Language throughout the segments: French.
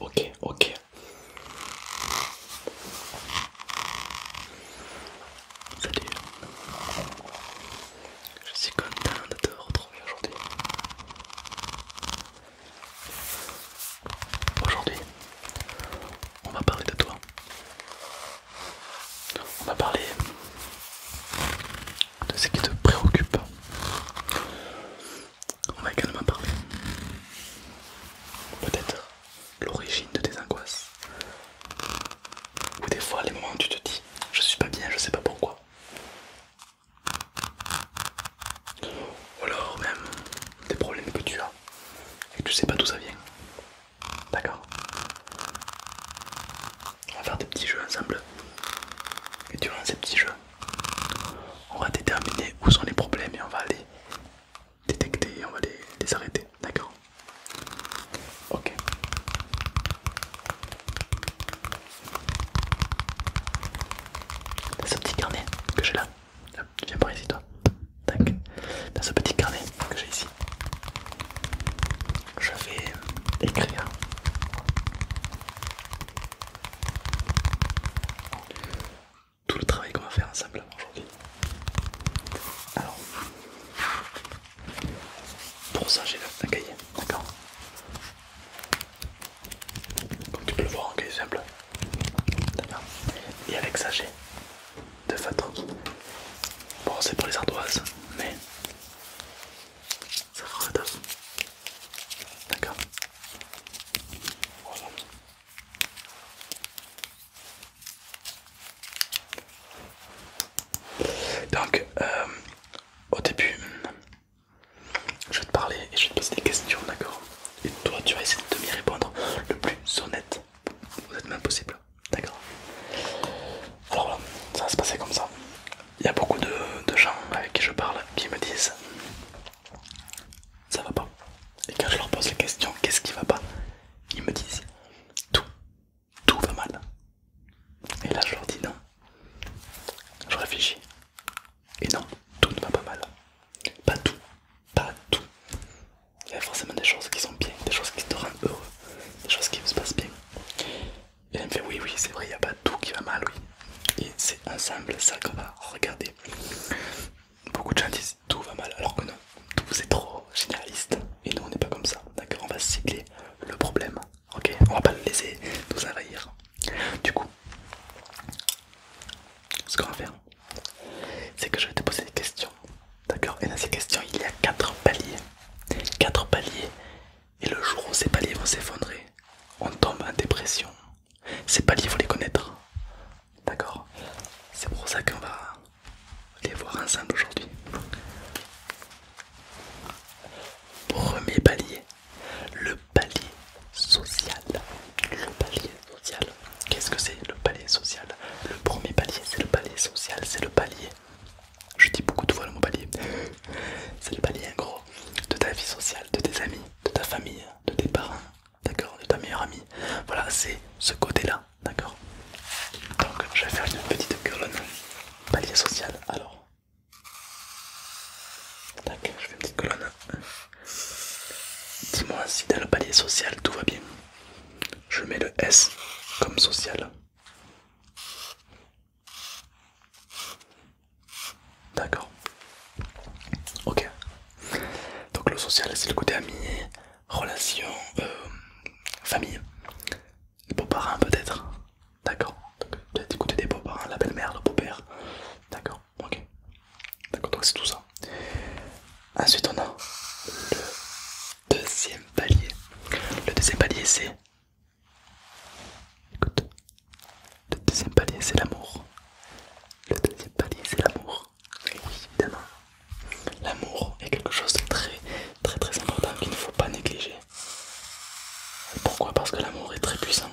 Ok, ok. Salut. Je suis content de te retrouver aujourd'hui. Aujourd'hui, on va parler de toi. On va parler de ce qui te préoccupe. On va également parler peut-être l'origine de tes angoisses. Ou des fois les moments où tu te dis je suis pas bien, je sais pas pourquoi. Ou alors même des problèmes que tu as et que tu sais pas d'où ça vient. D'accord On va faire des petits jeux ensemble. Et durant ces petits jeux, on va déterminer où sont les problèmes et on va les détecter et on va les, arrêter. D'accord Ok. Dans ce petit carnet que j'ai là, viens par ici toi. Dans ce petit carnet que j'ai ici, je vais écrire tout le travail qu'on va faire ensemble aujourd'hui. Alors, pour ça j'ai un cahier, d'accord Comme tu peux le voir, un cahier simple. D'accord Et avec ça j'ai deux feutres. Bon, c'est pour les ardoises, mais ça fera le D'accord donc, euh, au début, je vais te parler et je vais te poser des questions, d'accord Et toi, tu vas essayer de m'y répondre le plus honnête, honnêtement possible, d'accord Alors voilà, ça va se passer comme ça. Il y a beaucoup de, gens avec qui je parle qui me disent ça va pas. Et quand je leur pose la question qu'est-ce qui va pas, ils me disent tout, tout va mal. Et là je leur dis non. Je réfléchis. Et non, tout ne va pas mal. Pas tout, pas tout. Il y a forcément des choses qui sont bien, des choses qui te rendent heureux, des choses qui se passent bien. Et elle me fait oui oui c'est vrai il n'y a pas tout qui va mal oui Et c'est ensemble ça qu'on va regarder Beaucoup de gens disent tout va mal alors que non Tout c'est trop généraliste et nous on n'est pas comme ça D'accord on va cibler le problème ok On va pas le laisser nous envahir Du coup ce qu'on va faire c'est que je vais te poser des questions D'accord Et dans ces questions il y a quatre paliers Quatre paliers et le jour où ces paliers vont s'effondrer, on tombe en dépression. Ces paliers, il faut les connaître. D'accord C'est pour ça qu'on va les voir ensemble aujourd'hui. Premier palier, le palier social. Le palier social. Qu'est-ce que c'est le palier social Le premier palier, c'est le palier social, c'est le palier. Je dis beaucoup de fois le mot palier. C'est le palier gros de ta vie sociale, de tes amis, de ta famille, de tes parents, d'accord, de ta meilleure amie. Voilà, c'est ce côté-là, d'accord. Donc je vais faire une petite colonne palier social. Alors, tac, je fais une petite colonne. Dis-moi si dans le palier social tout va bien. Je mets le S comme social. D'accord. Ok. Donc le social, c'est le côté ami, relation, euh, famille, beaux-parents peut-être. D'accord. Peut-être écouter des beaux-parents, la belle-mère, le beau-père. D'accord. Ok. D'accord. Donc c'est tout ça. Ensuite, on a le deuxième palier. Le deuxième palier, c'est Écoute, le deuxième palier c'est l'amour. Le deuxième palier c'est l'amour. Oui, évidemment. L'amour est quelque chose de très très très important qu'il ne faut pas négliger. Pourquoi Parce que l'amour est très puissant.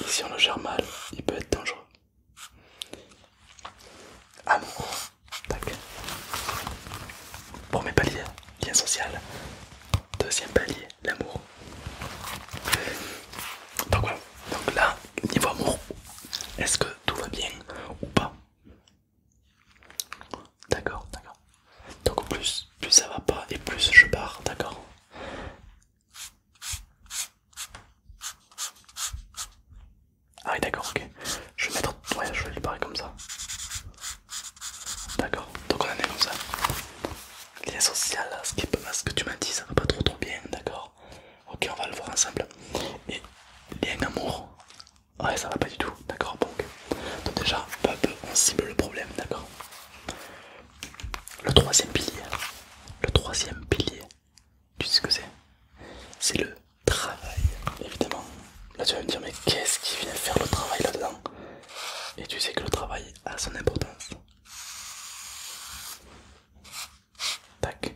Et si on le gère mal, il peut être dangereux. Amour. Tac. Premier palier, lien social. Deuxième palier, l'amour. Donc là, niveau amour, est-ce que tout va bien ou pas D'accord, d'accord. Donc plus, plus ça va pas et plus je pars, d'accord Ah oui d'accord, ok. Je vais mettre... Ouais, je vais comme ça. D'accord, donc on en est comme ça. Lien social, mal ce que tu m'as dit, ça va pas trop trop bien, d'accord Ok, on va le voir ensemble. Et lien amour, ouais, ça va pas du tout, d'accord Donc, donc déjà, peu peu, on cible le problème, d'accord Le troisième pilier, le troisième pilier, tu sais ce que c'est C'est le travail, évidemment. Là, tu vas me dire, mais qu'est-ce qui vient faire le travail là-dedans et tu sais que le travail a son importance. Tac.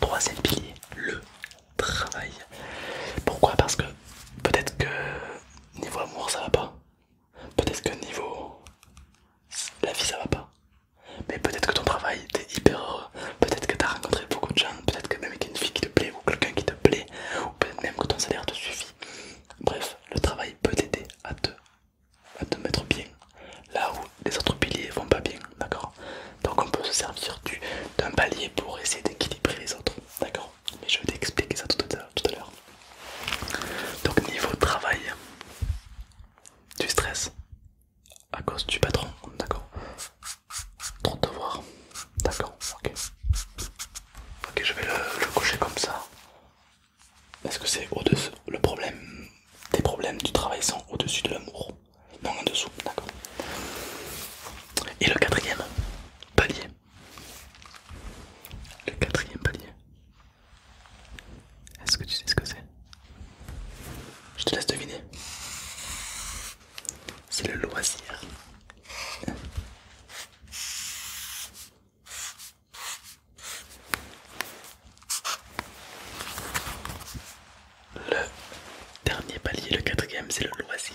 Troisième pilier, le travail. Pourquoi Parce que peut-être que niveau amour ça va pas. Peut-être que niveau la vie ça va pas. Mais peut-être que ton travail, t'es hyper heureux peut-être que tu as rencontré beaucoup de gens, peut-être que même avec une fille qui te plaît ou quelqu'un qui te plaît, ou peut-être même que ton salaire te suffit. Bref, le travail peut t'aider à te, à te mettre bien là où les autres piliers vont pas bien, d'accord Donc on peut se servir d'un palier pour essayer d'équilibrer les autres, d'accord Mais je vais t'expliquer ça tout à, à l'heure. Donc niveau travail, tu stresses à cause du patron, d'accord Trop de voir. D'accord, ok. Ok, je vais le, cocher comme ça. Est-ce que c'est au-dessus Le problème des problèmes du travail sont au-dessus de l'amour. Non, en dessous, d'accord. Et le quatrième palier. Le quatrième palier. Est-ce que tu sais ce que c'est je te laisse deviner. C'est le loisir. Le dernier palier, le quatrième, c'est le loisir.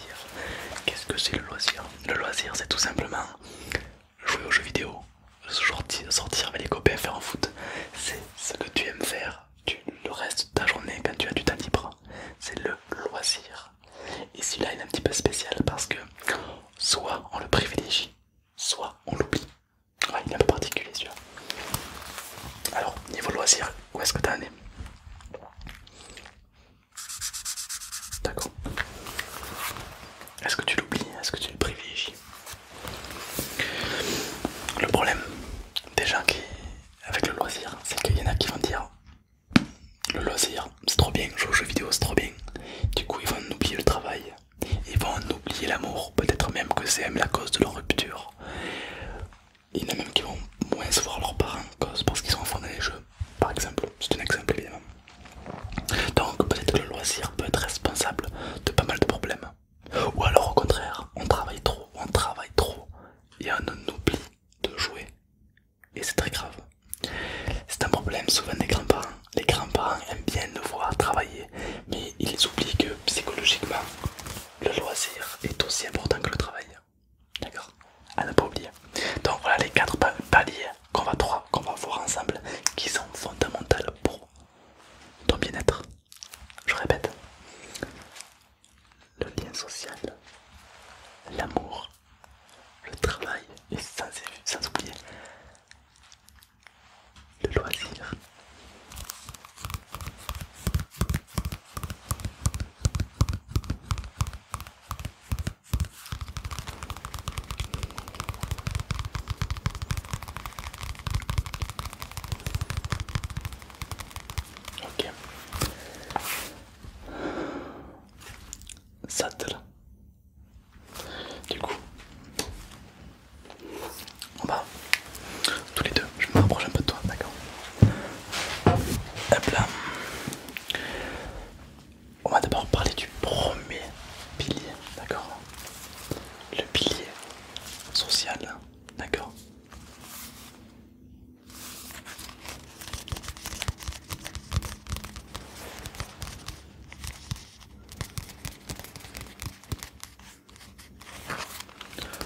Qu'est-ce que c'est le loisir Le loisir, c'est tout simplement jouer aux jeux vidéo, sortir, sortir avec les copains, faire en foot. C'est ce que tu aimes faire le reste de ta journée, quand ben, tu as du temps libre, c'est le loisir. Et celui-là, il est un petit peu spécial parce que soit on le privilégie, soit on l'oublie. Ouais, il est un peu particulier celui-là. Alors, niveau loisir, où est-ce que t'en es D'accord. Est-ce que tu l'oublies Est-ce que tu le privilégies Le problème des gens qui avec le loisir, c'est qu'il y en a qui vont dire le loisir, c'est trop bien, jouer aux jeux vidéo, c'est trop bien. Du coup, ils vont en oublier le travail, ils vont en oublier l'amour, peut-être même que c'est même la cause de leur rupture. Il y en a même qui vont moins voir leurs parents cause parce qu'ils sont enfants dans les jeux, par exemple. C'est un exemple évidemment. Donc, peut-être que le loisir peut être responsable de pas mal de problèmes. Ou alors au contraire, on travaille trop, on travaille trop et on oublie de jouer. Et c'est très grave. C'est un problème souvent des grands-parents. Les grands-parents aiment bien nous voir travailler, mais ils oublient que psychologiquement, le loisir est aussi important que le travail. D'accord À ne pas oublier. Donc voilà les quatre paliers qu'on va, qu'on va voir ensemble qui sont fondamentales pour ton bien-être. Je répète, le lien social, l'amour, le travail et sans, oublier le loisir. Ok, ça Du coup, on va tous les deux. Je me rapproche un peu de toi, d'accord Hop là. On va d'abord parler du premier pilier, d'accord Le pilier social, d'accord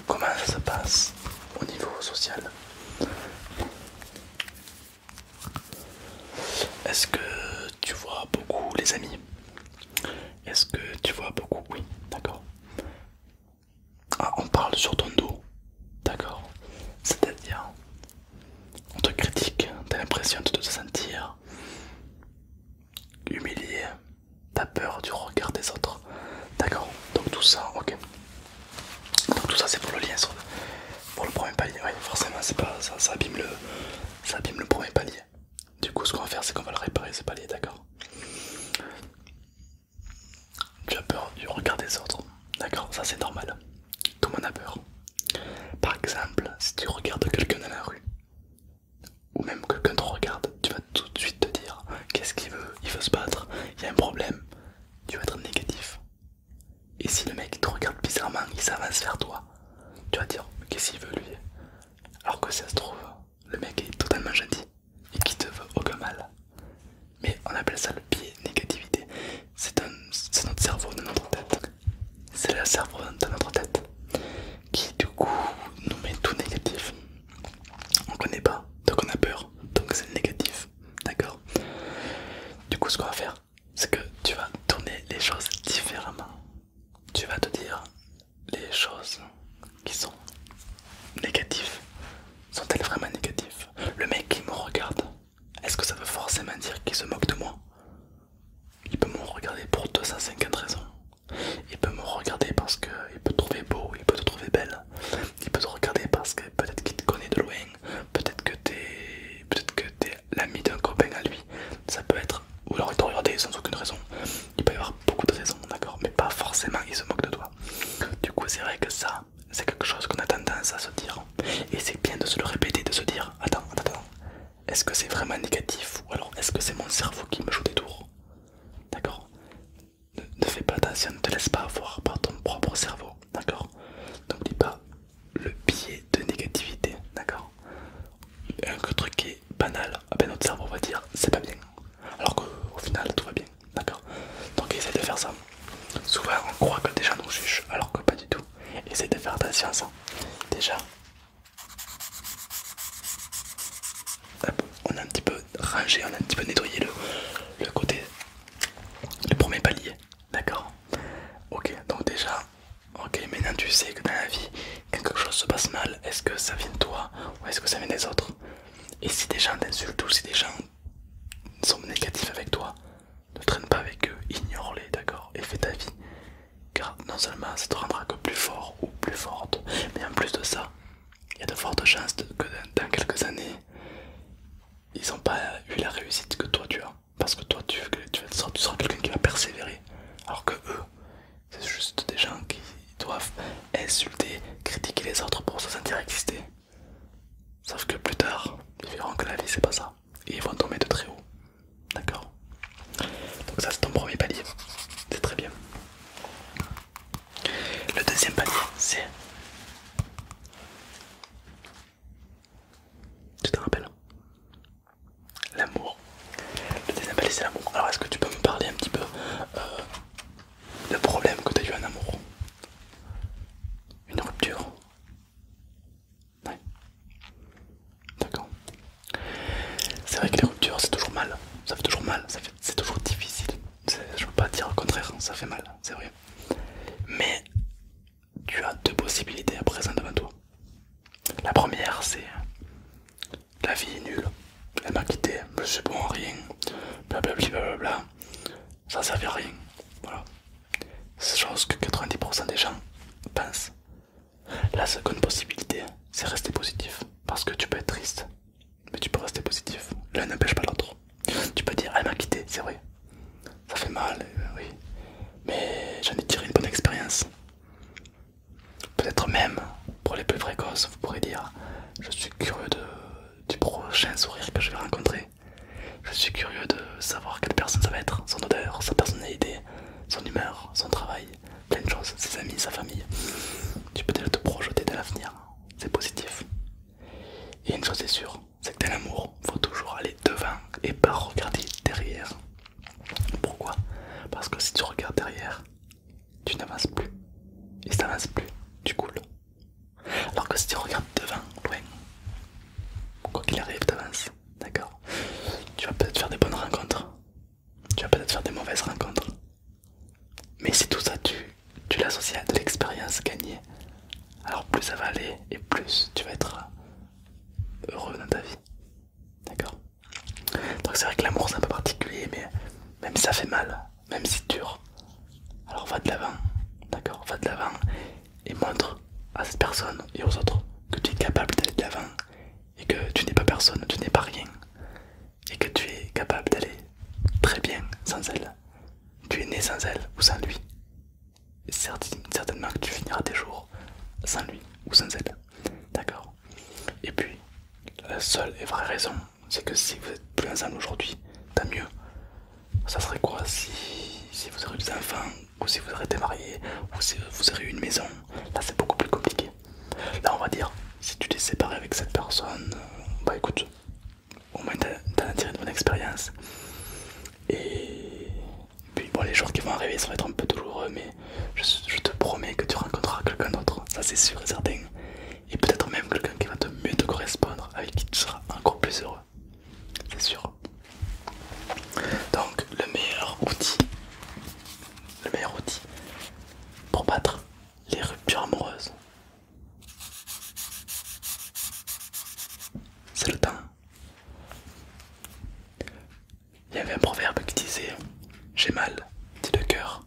Comment ça se passe au niveau social Est-ce que tu vois beaucoup les amis Est-ce que tu vois beaucoup Oui, d'accord. Ah, on parle sur ton dos, d'accord C'est-à-dire, on te critique, t'as l'impression de te sentir humilié, t'as peur du regard des autres, d'accord Donc tout ça, ok. Donc tout ça c'est pour le lien, sur pour le premier palier, oui forcément c'est pas ça, ça le, ça abîme le premier palier. Du coup, ce qu'on va faire, c'est qu'on va le réparer ce palier, d'accord Tu as peur du regard des autres, d'accord Ça, c'est normal. Tout le monde a peur. Par exemple, si tu regardes quelqu'un dans la rue, ou même quelqu'un te regarde, tu vas tout de suite te dire qu'est-ce qu'il veut, il veut se battre, il y a un problème, tu vas être négatif. Et si le mec te regarde bizarrement, il s'avance vers toi, tu vas dire qu'est-ce qu'il veut lui Alors que ça se trouve, le mec est totalement gentil et qui te veut aucun mal. Mais on appelle ça le biais négativité. C'est notre cerveau de notre tête. C'est le cerveau de notre tête qui du coup nous met tout négatif. On connaît pas, donc on a peur, donc c'est négatif. D'accord Du coup ce qu'on va faire, c'est que tu vas tourner les choses différemment. Tu vas te dire, les choses qui sont négatives sont-elles vraiment négatives Le mec qui me regarde, est-ce que ça veut forcément dire qu'il se moque de moi Il peut me regarder pour 250 raisons. Il peut me regarder parce qu'il peut te trouver beau, il peut te trouver belle. Il peut te regarder parce que peut-être qu'il te connaît de loin, peut-être que t'es peut l'ami d'un copain à lui. Ça peut être, ou alors il t'a regardé sans aucune raison il peut y avoir beaucoup de raisons, d'accord, mais pas forcément il se moquent de toi. Du coup, c'est vrai que ça, c'est quelque chose qu'on a tendance à se dire, et c'est bien de se le répéter, de se dire Attends, attends, est-ce que c'est vraiment négatif ou alors est-ce que c'est mon cerveau qui me joue des tours D'accord ne, fais pas attention, ne te laisse pas avoir par ton propre cerveau, d'accord N'oublie pas le biais de négativité, d'accord Un truc qui est banal, à notre cerveau va dire c'est pas bien, alors qu'au final tout va bien, d'accord Donc essaye de faire ça. Souvent on croit que déjà nous juge, alors que pas du tout. Essaye de faire attention à ça. Déjà, on a un petit peu rangé, on a un petit peu nettoyé le, le côté, le premier palier, d'accord Ok, donc déjà, ok, maintenant tu sais que dans la vie quand quelque chose se passe mal, est-ce que ça vient de toi ou est-ce que ça vient des autres Et si des gens t'insultent ou si des gens sont négatifs avec toi, ne traîne pas avec eux, ignore-les, d'accord Et fais ta vie. Car non seulement ça te rendra que plus fort ou plus forte, mais en plus de ça, il y a de fortes chances que dans quelques années, ils n'ont pas eu la réussite que toi tu as. Parce que toi tu, tu, tu tu seras quelqu'un qui va persévérer. Alors que eux, c'est juste des gens qui doivent insulter, critiquer les autres pour se sentir exister. Sauf que plus tard, ils verront que la vie c'est pas ça. Et ils vont tomber de très haut. D'accord Donc ça c'est ton premier palier. C'est très bien. Le deuxième palier, c'est... Tu te rappelles L'amour. Le deuxième c'est l'amour. Alors est-ce que tu peux me parler un petit peu euh, le de que tu as eu en amour Une rupture Ouais. D'accord. C'est vrai que les ruptures c'est toujours mal. Ça fait toujours mal. C'est toujours difficile. Je veux pas dire le contraire. Ça fait mal. C'est vrai. Mais tu as deux possibilités à présent devant toi. La première c'est la vie est nulle, elle m'a quitté, je suis bon en rien, blablabla, ça ne servait à rien. Voilà, c'est chose que 90% des gens pensent. La seconde possibilité, c'est rester positif, parce que tu peux être triste, mais tu peux rester positif, l'un n'empêche pas l'autre. Tu peux dire, elle m'a quitté, c'est vrai, ça fait mal, euh, oui, mais j'en ai tiré une bonne expérience. Peut-être même pour les plus précoces, vous pourrez dire Je suis curieux du prochain sourire que je vais rencontrer. Je suis curieux de savoir quelle personne ça va être, son odeur, sa personnalité, son humeur, son travail, plein de choses, ses amis, sa famille. Tu peux déjà te projeter dans l'avenir, c'est positif. Et une chose est sûre, c'est que dans l'amour, faut toujours aller devant et pas regarder derrière. Pourquoi Parce que si tu regardes derrière, tu n'avances plus. Et si n'avances plus, tu coules. Alors que si tu regardes devant, loin, quoi qu'il arrive, avances, D'accord Tu vas peut-être faire des bonnes rencontres. Tu vas peut-être faire des mauvaises rencontres. Mais si tout ça, tu, tu l'associes à de l'expérience gagnée, alors plus ça va aller et plus tu vas être heureux dans ta vie. D'accord donc c'est vrai que l'amour c'est un peu particulier, mais même si ça fait mal, même si dur, alors va de l'avant, d'accord Va de l'avant et montre à cette personne et aux autres que tu es capable d'aller de l'avant et que tu n'es pas personne, tu n'es pas rien et que tu es capable d'aller très bien sans elle. Tu es né sans elle ou sans lui. Et certainement que tu finiras tes jours sans lui ou sans elle. D'accord et puis, la seule et vraie raison, c'est que si vous êtes plus ensemble aujourd'hui, tant mieux. Ça serait quoi si, vous aurez des enfants, ou si vous aurez été marié, ou si vous aurez une maison Là, c'est beaucoup plus compliqué. Là, on va dire, si tu t'es séparé avec cette personne, bah écoute, au moins t'as tiré de mon expérience. Et puis, bon, les jours qui vont arriver, ça va être un peu douloureux, mais je, je te promets que tu rencontreras quelqu'un d'autre, ça c'est sûr et certain. Et peut-être même quelqu'un qui va te mieux te correspondre, avec qui tu seras encore plus heureux. C'est sûr. Donc le meilleur outil, le meilleur outil pour battre les ruptures amoureuses, c'est le temps il y avait un proverbe qui disait J'ai mal, dit le cœur.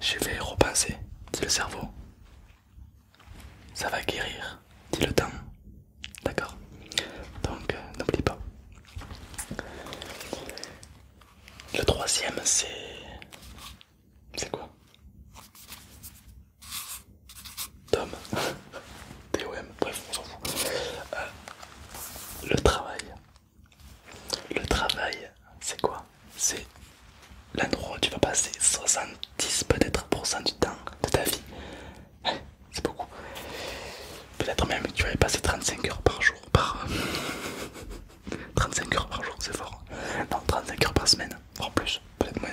Je vais repenser, dit le cerveau. Ça va guérir, dit le temps. D'accord Donc, euh, n'oublie pas. Le troisième, c'est. C'est quoi Tom. TOM, bref, on euh, le travail. Le travail, c'est quoi C'est l'endroit où tu vas passer 70 peut-être du temps de ta vie. Hein, c'est beaucoup. Peut-être même que tu vas y passer 35 heures par jour. Par... 35 heures par jour, c'est fort. Hein. Non, 35 heures par semaine, en plus, peut-être moins.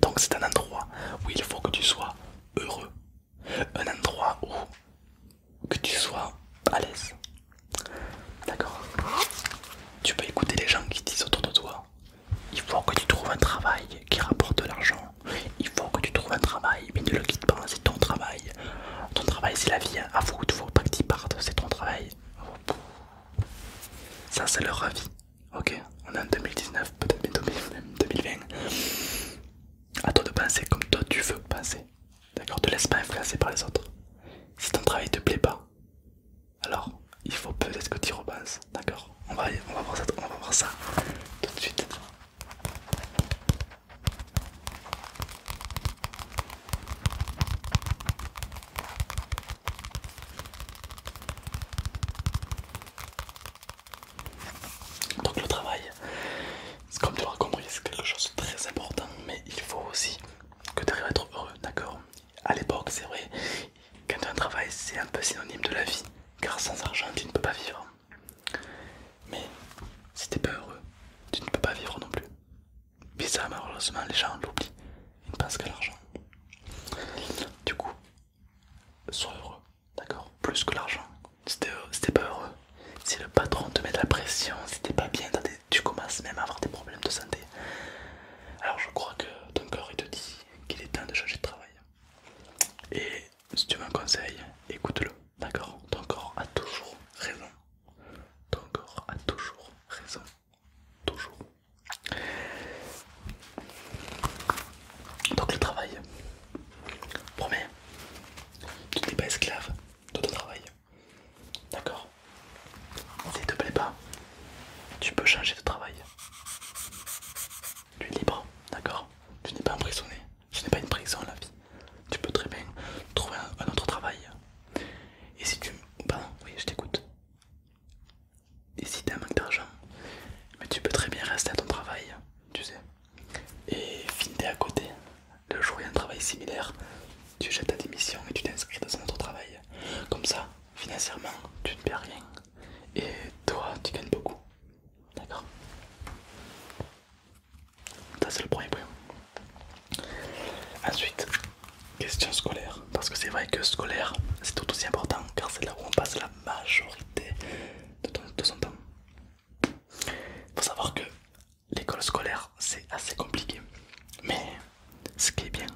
Donc c'est un endroit où il faut que tu sois heureux un endroit où que tu sois à l'aise. D'accord Tu peux écouter les gens qui disent autour de toi. Il faut que tu trouves un travail qui rapporte de l'argent. Il faut que tu trouves un travail, mais ne le quitte pas, c'est ton travail. Ton travail c'est la vie, À vous il faut pas que tu c'est ton travail. Ça c'est leur avis. Ok, on est en 2019, peut-être 2020. À toi de penser comme toi tu veux penser. D'accord Te laisse pas influencer par les autres. Si ton travail te plaît pas, alors il faut peut-être que tu repenses. D'accord on va, on va on va voir ça tout de suite. Donc le travail, comme tu l'auras compris, c'est quelque chose de très important, mais il faut aussi que tu arrives à être heureux, d'accord À l'époque, c'est vrai, quand tu as un travail, c'est un peu synonyme de la vie, car sans argent, tu ne peux pas vivre. Mais si n'es pas heureux, tu ne peux pas vivre non plus. Mais ça, malheureusement, les gens l'oublient, ils ne pensent qu'à l'argent. Du coup, sois heureux, d'accord Plus que l'argent. C'était euh, t'es pas heureux. Si le patron te met de la pression, si t'es pas bien, tu commences même à avoir des problèmes de santé. Alors je crois que ton corps il te dit qu'il est temps de changer de travail. Et si tu m'en un conseil, écoute-le, d'accord Ton corps a toujours raison. Ton corps a toujours raison. Toujours. Donc le travail, Promets, tu n'es pas esclave de ton travail. D'accord S'il te plaît pas, tu peux changer de travail. Tu es libre, d'accord Tu n'es pas emprisonné. Je n'ai pas une prison la vie. Tu peux très bien trouver un, autre travail. Et si tu... pardon, oui, je t'écoute. Et si t'as un manque d'argent, mais tu peux très bien rester à ton travail, tu sais et Findé à côté, de jouer un travail similaire, tu jettes ta démission et tu t'inscris dans un autre travail. Comme ça, financièrement, tu ne perds rien et toi, tu gagnes beaucoup. D'accord Ça, c'est le premier point. Ensuite, question scolaire. Parce que c'est vrai que scolaire, c'est tout aussi important car c'est là où on passe la majorité de son temps. Il faut savoir que l'école scolaire c'est assez compliqué, mais ce qui est bien,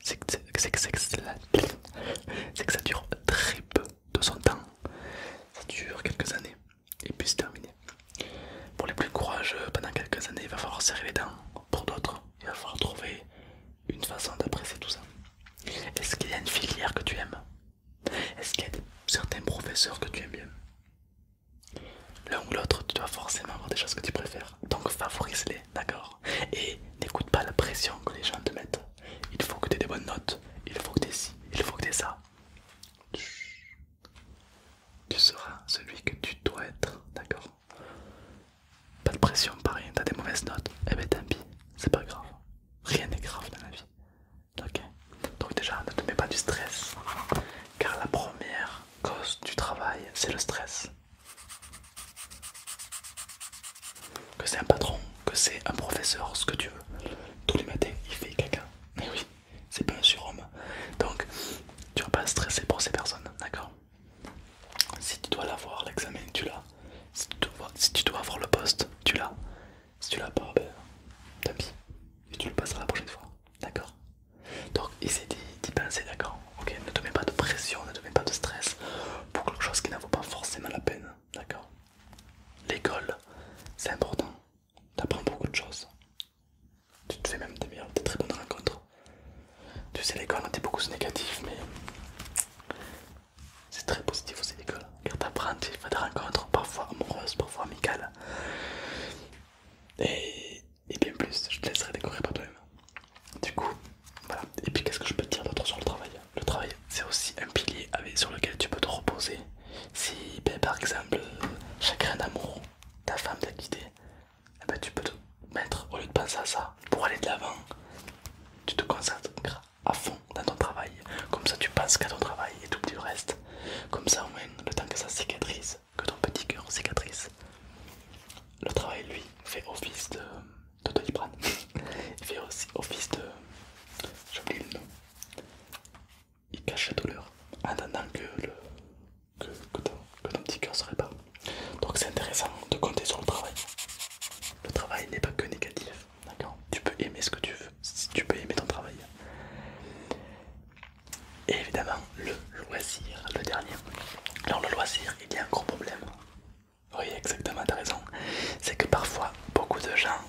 c'est que, que ça dure très peu de son temps. Ça dure quelques années et puis c'est terminé. Pour les plus courageux, pendant quelques années, il va falloir serrer les dents. Pour d'autres, il va falloir trouver une façon d'apprécier tout ça. Est-ce qu'il y a une filière que tu aimes est-ce qu'il y a certains professeurs que tu aimes bien L'un ou l'autre, tu dois forcément avoir des choses que tu préfères. Donc favorise-les, d'accord Et n'écoute pas la pression que les gens te mettent. Il faut que tu aies des bonnes notes, il faut que tu aies ci, il faut que tu aies ça. Tu seras celui que tu dois être, d'accord Pas de pression, pas rien, t'as des mauvaises notes, eh ben tant pis, c'est pas grave. Rien n'est grave dans la vie donc déjà ne te mets pas du stress, car la première cause du travail c'est le stress. Que c'est un patron, que c'est un professeur, ce que tu veux. Tous les matins il fait quelqu'un. Mais oui, c'est pas un surhomme. Donc tu vas pas stresser pour ces personnes, d'accord Si tu dois l'avoir l'examen, tu l'as. Si, si tu dois avoir le poste, tu l'as. Si tu l'as pas, ben tant Et tu le passeras la prochaine fois. D'accord Donc essaye d'y penser, d'accord Ok Ne te mets pas de pression, ne te mets pas de stress pour quelque chose qui n'en vaut pas forcément la peine. D'accord L'école, c'est important. T'apprends beaucoup de choses. Tu te fais même des meilleures, des très bonnes rencontres. Tu sais, l'école, on dit beaucoup négatif, mais c'est très positif aussi l'école' car t'apprends des rencontres, parfois amoureuses, parfois amicales. Et, bien plus, je te laisserai découvrir par toi-même. Du coup, voilà. Et puis qu'est-ce que je peux te dire d'autre sur le travail Le travail, c'est aussi un pilier sur lequel tu peux te reposer. Si ben, par exemple, chacun d'amour, ta femme t'a guidé, eh ben, tu peux te mettre, au lieu de penser à ça, pour aller de l'avant, tu te concentres à fond dans ton travail. Comme ça, tu passes qu'à ton travail et tout le reste. Comme ça, au moins, le temps que ça cicatrise, que ton petit cœur cicatrise, le travail, lui, fait office de, de Il fait aussi office de. J'oublie le nom. Il cache la douleur en attendant que, que, ton, petit cœur se répare. Donc, c'est intéressant de compter sur le travail. Le travail n'est pas que négatif. D'accord Tu peux aimer ce que tu veux, si tu peux aimer ton travail. Et évidemment, le loisir, le dernier. Alors, le loisir, il y a un gros problème. Oui, exactement, t'as raison. C'est que parfois, beaucoup de gens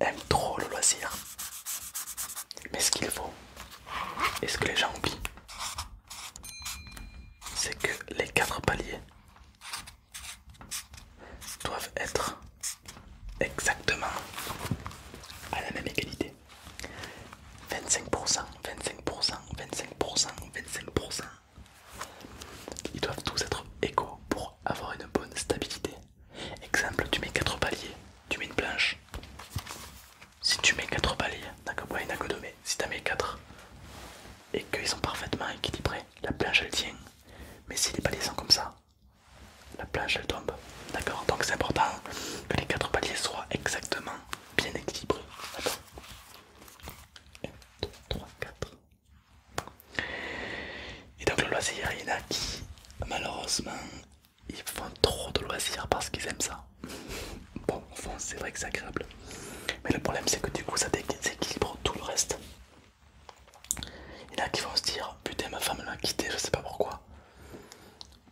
aiment trop le loisir. Mais ce qu'il faut, et ce que les gens oublient, c'est que les quatre paliers doivent être exactement à la même égalité. 25%, 25%, 25%, 25%. Ils doivent tous être égaux pour avoir une bonne stabilité. Exemple, tu mets 4 paliers, tu mets une planche. Si tu mets 4 paliers, d'accord, il n'y en que 2, si tu mets 4 et qu'ils sont parfaitement équilibrés, la planche elle tient mais les paliers sont comme ça, la planche elle tombe. D'accord Donc c'est important que les quatre paliers soient exactement bien équilibrés. 1, 2, 3, 4. Et donc le loisir, il y en a qui, malheureusement, ils font trop de loisirs parce qu'ils aiment ça. Bon, au fond, c'est vrai que c'est agréable. Mais le problème, c'est que du coup, ça déséquilibre tout le reste. Il y en a qui vont se dire Putain, ma femme m'a quitté, je sais pas pourquoi.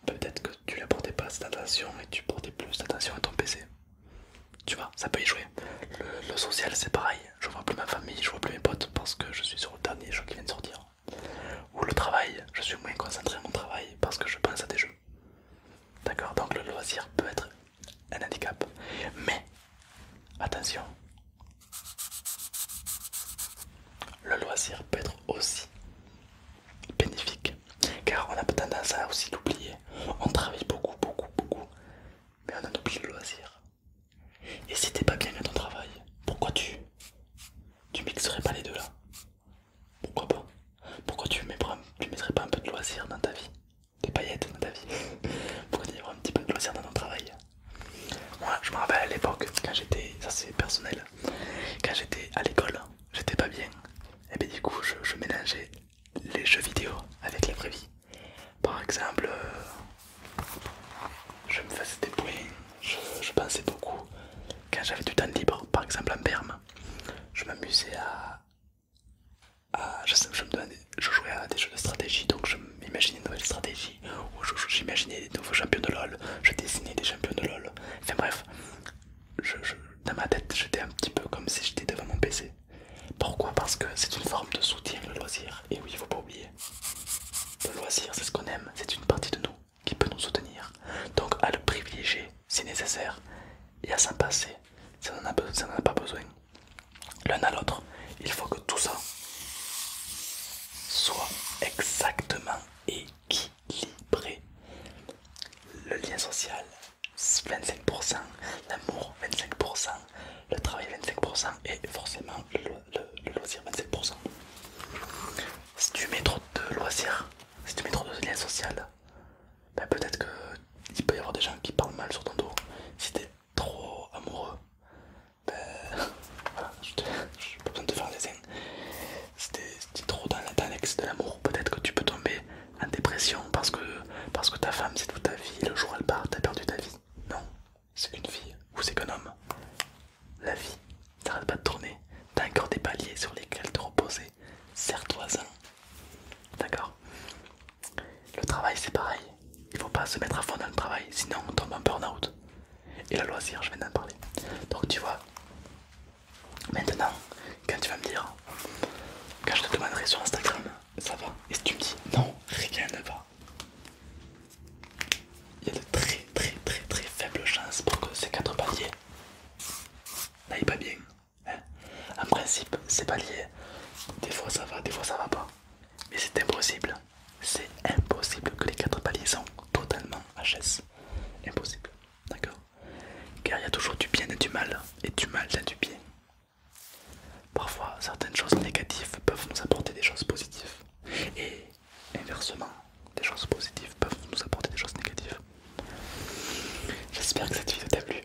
Peut-être que tu la portais pas cette attention et tu portais plus attention à ton PC. Tu vois, ça peut y jouer. Le, social, c'est pareil. Je vois plus ma famille, je vois plus mes potes parce que je suis sur le dernier jeu qui vient de sortir. Ou le travail, je suis moins concentré à mon travail parce que je pense à des jeux. D'accord, donc le loisir peut être un handicap. Mais attention, le loisir peut être aussi bénéfique car on a tendance à aussi l'oublier. On travaille beaucoup, beaucoup, beaucoup, mais on en oublie le loisir. Et si t'es pas bien dans ton travail, pourquoi tu tu mixerais pas les deux là Pourquoi pas Pourquoi tu, tu mettrais pas un peu de loisir dans ta vie des paillettes dans ta vie pour y un petit peu de loisirs dans notre travail. Moi je me rappelle à l'époque quand j'étais, ça c'est personnel, quand j'étais à l'école, j'étais pas bien et bien du coup je, je mélangeais les jeux vidéo avec la vraie vie. Par exemple, euh, je me faisais des points, je, pensais beaucoup. Quand j'avais du temps libre, par exemple en Berne je m'amusais à, ah, je, jouais à des jeux de stratégie, donc je m'imaginais une nouvelle stratégie, ou j'imaginais des nouveaux champions de LoL, je dessinais des champions de LoL. Enfin bref, dans ma tête, j'étais un petit peu comme si j'étais devant mon PC. Pourquoi Parce que c'est une forme de soutien, le loisir. Et oui, il faut pas oublier. Le loisir, c'est ce qu'on aime, c'est une partie de nous qui peut nous soutenir. Donc à le privilégier si nécessaire, et à s'en passer si on n'en a pas besoin l'un à l'autre, il faut que tout ça soit exactement équilibré. Le lien social 25%, l'amour 25%, le travail 25% et forcément le, loisir 25%. Si tu mets trop de loisir, si tu mets trop de lien social, ben peut-être qu'il peut y avoir des gens qui parlent mal sur ton dos. Si trop amoureux, ben voilà, je n'ai pas besoin de faire les dessin. C'était trop dans l'excès de l'amour. Peut-être que tu peux tomber en dépression parce que, parce que ta femme c'est toute ta vie, le jour elle part, t'as perdu ta vie. Non, c'est qu'une fille ou c'est qu'un homme. La vie, t'arrêtes pas de tourner, t'as encore des paliers sur lesquels te reposer, serre-toi-en. D'accord le travail c'est pareil, il faut pas se mettre à fond dans le travail, sinon on tombe en burn-out. Et la loisir, je viens d'en parler. Donc tu vois, maintenant, quand tu vas me dire, quand je te demanderai sur Instagram, ça va, et si tu me dis non, rien ne va, il y a de très très très très faibles chances pour que ces quatre paliers n'aillent pas bien. En principe, ces paliers, Des fois ça va, des fois ça va pas. Mais c'est impossible. C'est impossible que les quatre paliers sont totalement HS. Impossible. D'accord Car il y a toujours du bien et du mal. Et du mal dans du bien. Parfois, certaines choses négatives peuvent nous apporter des choses positives. Et inversement, des choses positives peuvent nous apporter des choses négatives. J'espère que cette vidéo t'a plu.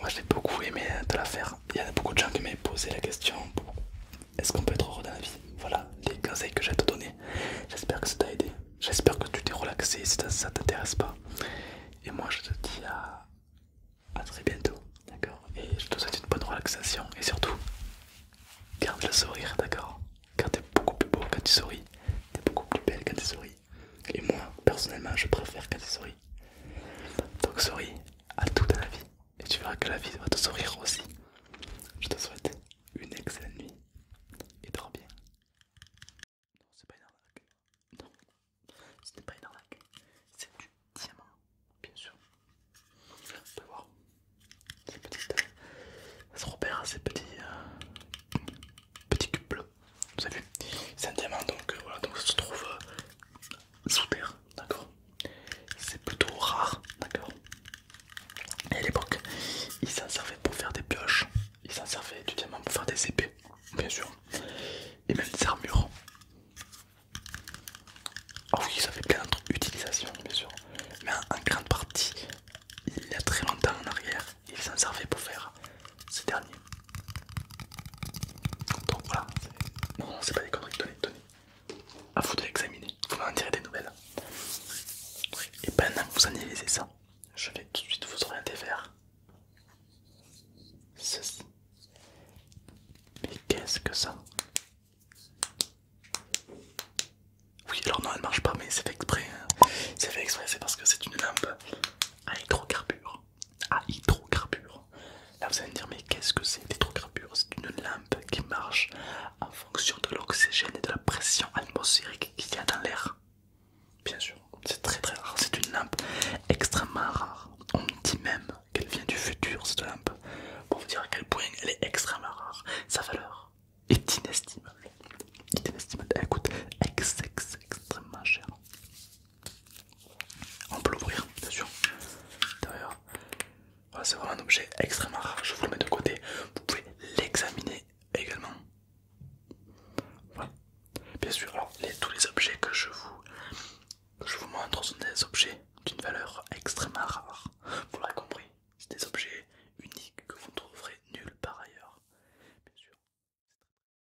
Moi j'ai beaucoup aimé te euh, la faire. Il y a beaucoup de gens qui m'ont posé la question est-ce qu'on peut être heureux dans la vie Voilà les conseils que j'ai à te donner. J'espère que ça t'a aidé. J'espère que tu t'es relaxé si ça t'intéresse pas. Et moi je te dis à, à très bientôt. D'accord Et je te souhaite une bonne relaxation. Et surtout, garde le sourire, d'accord Car t'es beaucoup plus beau quand tu souris. T'es beaucoup plus belle quand tu souris. Et moi, personnellement, je préfère qu'à il souris. Donc souris à tout dans la vie. Et tu verras que la vie va te sourire aussi. Je te souhaite une excellente nuit. Et dors bien. Non, c'est pas une Non, ce n'est pas une C'est du diamant, bien sûr. On va voir. Ces petit. Euh, ça se repère ces petits... Euh, petits cubes vous savez, c'est un diamant donc euh, voilà donc ça se trouve euh, sous terre d'accord c'est plutôt rare d'accord et à l'époque ils s'en servaient pour faire des pioches ils s'en servaient du diamant pour faire des épées bien sûr et même des armures ah oui ça fait plein d'autres utilisations bien sûr mais un en grande partie il y a très longtemps en arrière ils s'en servaient pour faire ces derniers. Donc voilà, non, c'est pas des conneries, tenez, tenez. À vous de l'examiner, vous m'en tirer des nouvelles. Et pendant que vous analysez ça, je vais tout de suite vous orienter vers ceci. Mais qu'est-ce que ça Oui, alors non, elle marche pas, mais c'est fait exprès. Hein. C'est fait exprès, c'est parce que c'est une lampe à hydrocarbures à hydrocarbures. Là vous allez me dire mais qu'est-ce que c'est l'hydrocarbure C'est une lampe qui marche en fonction de l'oxygène et de la pression atmosphérique qu'il y a dans l'air. Bien sûr, c'est très très rare, c'est une lampe extrêmement rare. On me dit même qu'elle vient du futur cette lampe, pour vous dire à quel point elle est extrêmement rare. Sa valeur est inestimable. elle coûte extrêmement cher. On peut l'ouvrir, bien sûr. D'ailleurs, c'est vraiment un objet extrêmement rare. Je vous le mets de côté. Vous pouvez l'examiner également. Voilà. Bien sûr, alors tous les objets que je vous que je vous montre sont des objets d'une valeur extrêmement rare. Vous l'avez compris, c'est des objets uniques que vous ne trouverez nulle part ailleurs. Bien sûr.